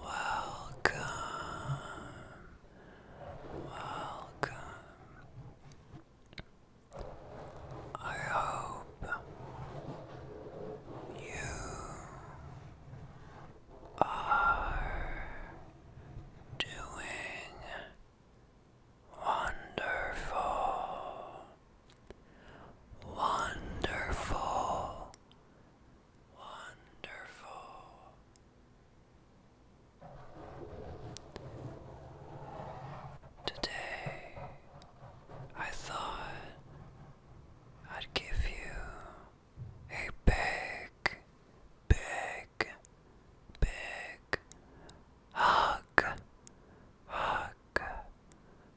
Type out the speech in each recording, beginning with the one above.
Welcome. Welcome. I hope you are doing wonderful. Wonderful. Wonderful. Today, I thought I'd give you a big, big, big hug, hug,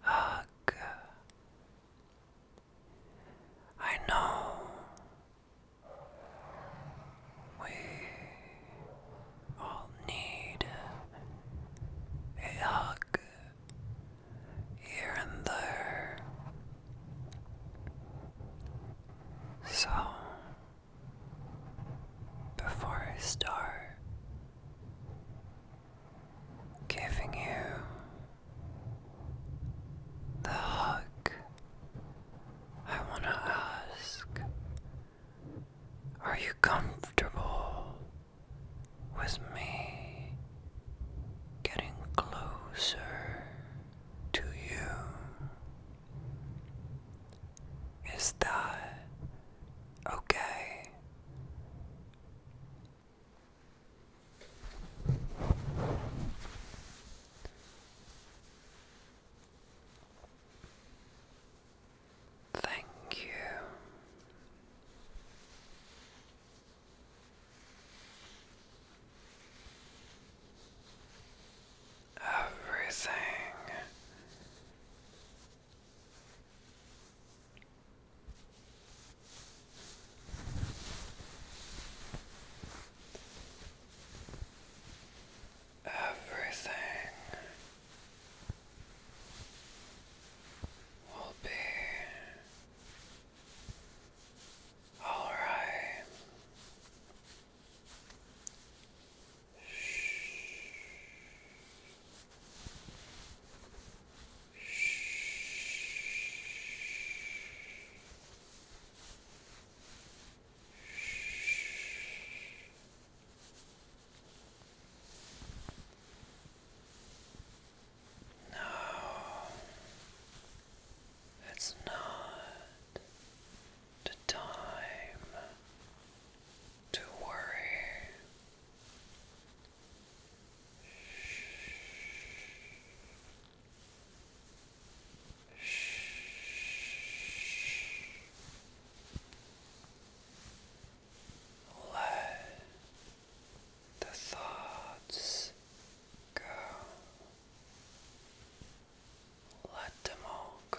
hug. I know we all need a hug here and there. So, before I start giving you the hug. I want to ask Are you comfortable with me getting closer to you? Is that okay? Thank you. Everything Everything will be all right. Shh. No, it's not the time to worry. Let the thoughts go. Let them all go.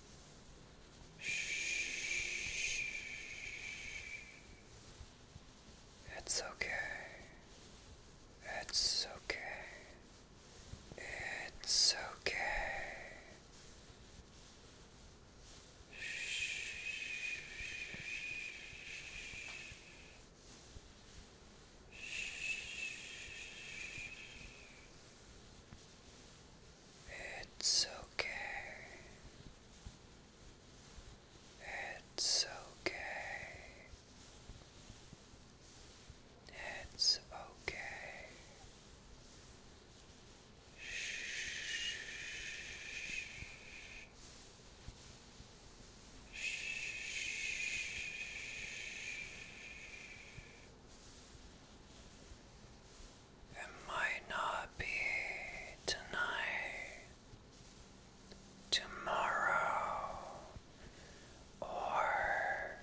It's okay. It's okay. It's okay. Shh. Shh. It's okay. It's okay. It's okay. Shh. Shh. It might not be tonight, tomorrow, or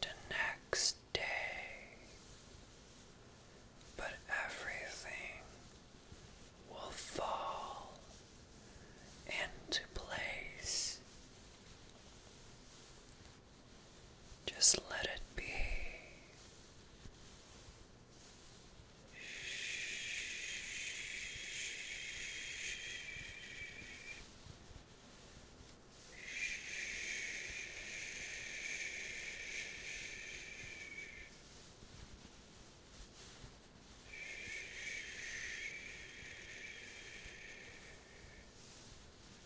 the next day, but everything will fall into place. Just let it be. Shh. Let it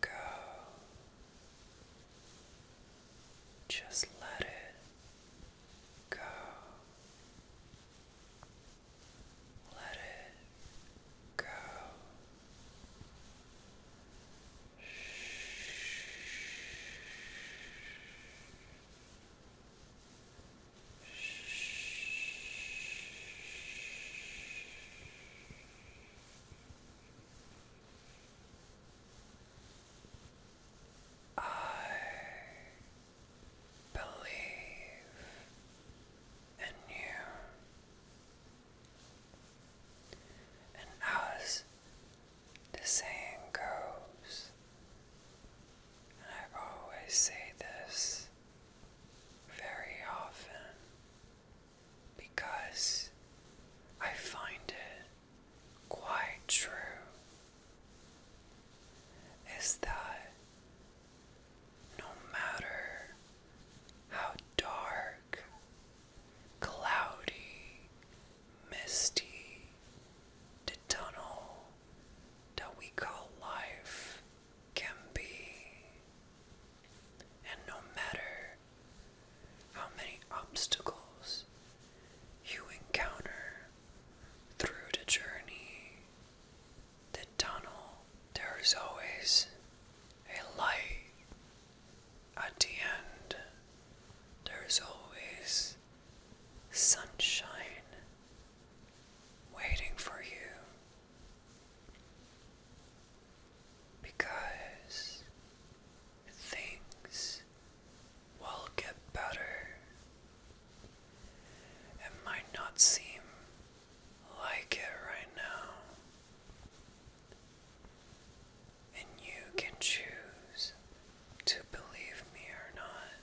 go. Just let it go. Let it go. I believe in you. And as the saying goes, and I always say this very often because I find it quite true, is that no matter how dark, cloudy, misty the tunnel that we call life can be. And no matter how many obstacles you encounter through the journey, the tunnel there is always a light at the end. There is always sunshine waiting for you because things will get better. It might not seem like it right now. And you can choose to believe me or not.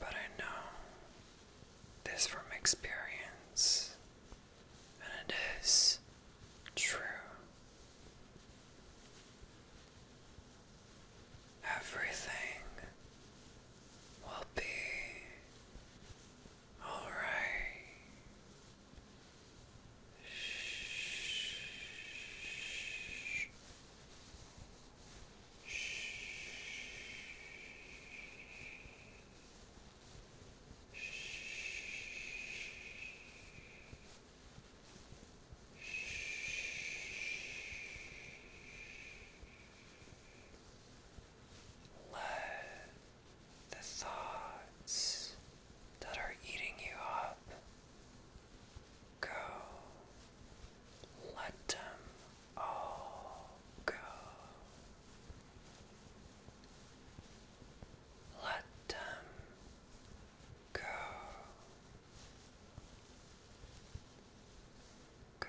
But I know this from experience, and it is true. Everything will be all right. Shh. Shh. Let the thoughts that are eating you up. Go. Let them all go. Let them go. Go.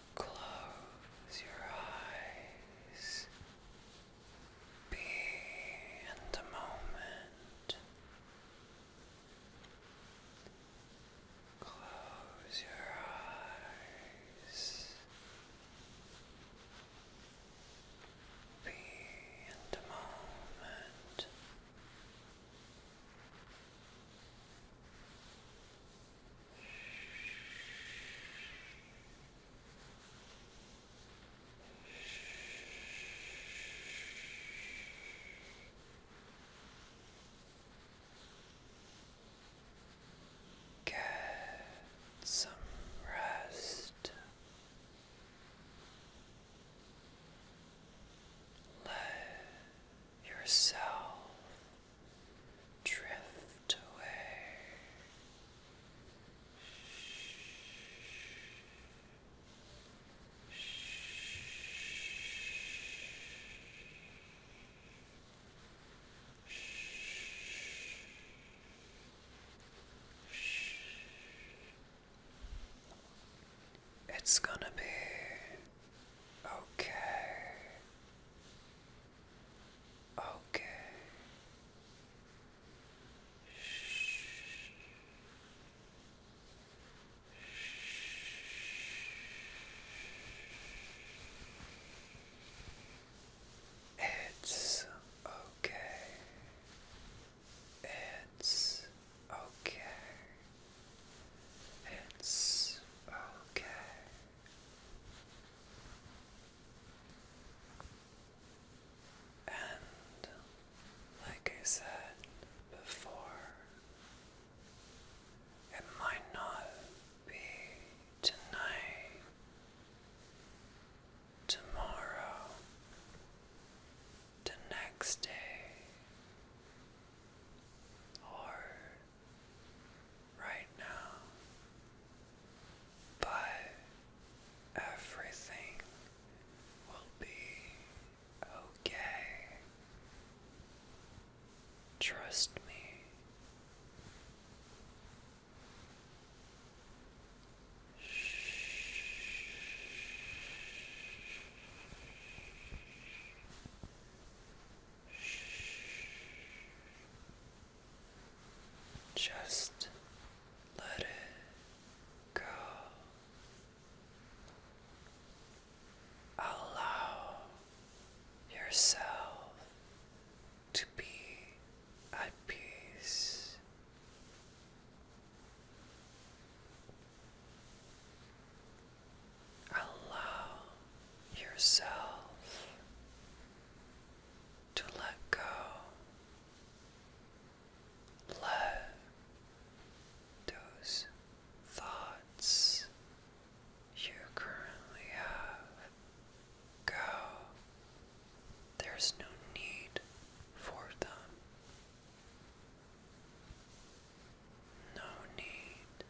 Close your eyes. Be in the moment. Close your eyes. Be in the moment. Get some rest. Let yourself drift away. Shh. Shh. Shh. Shh. It's gonna be okay. Okay. Shh. Shh. It's okay. It's okay. It's okay. And like I said before, it might not be tonight, tomorrow, the next day, or right now but everything will be okay trust me Shh. Shh. Just let it go. Allow yourself to be at peace. Allow yourself to let go. Let those thoughts you currently have go. There's no need for them. No need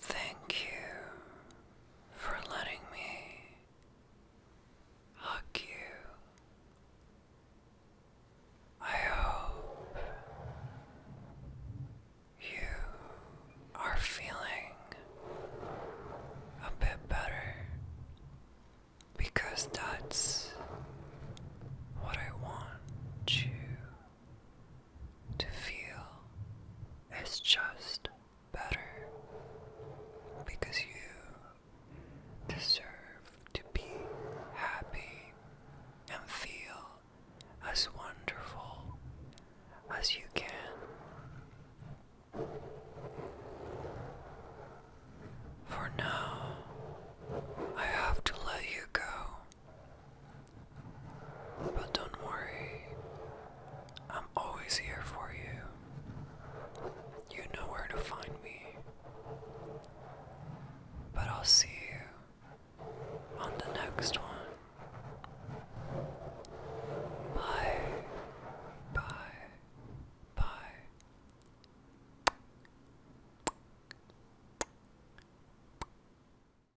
Thank you for letting me hug you. I hope you are feeling a bit better because that's what I want you to feel is just better because you deserve to be happy and feel as wonderful as you can. For now, I have to let you go. But don't worry, I'm always here for you. You know where to find me. But I'll see you on the next one. Bye, bye, bye.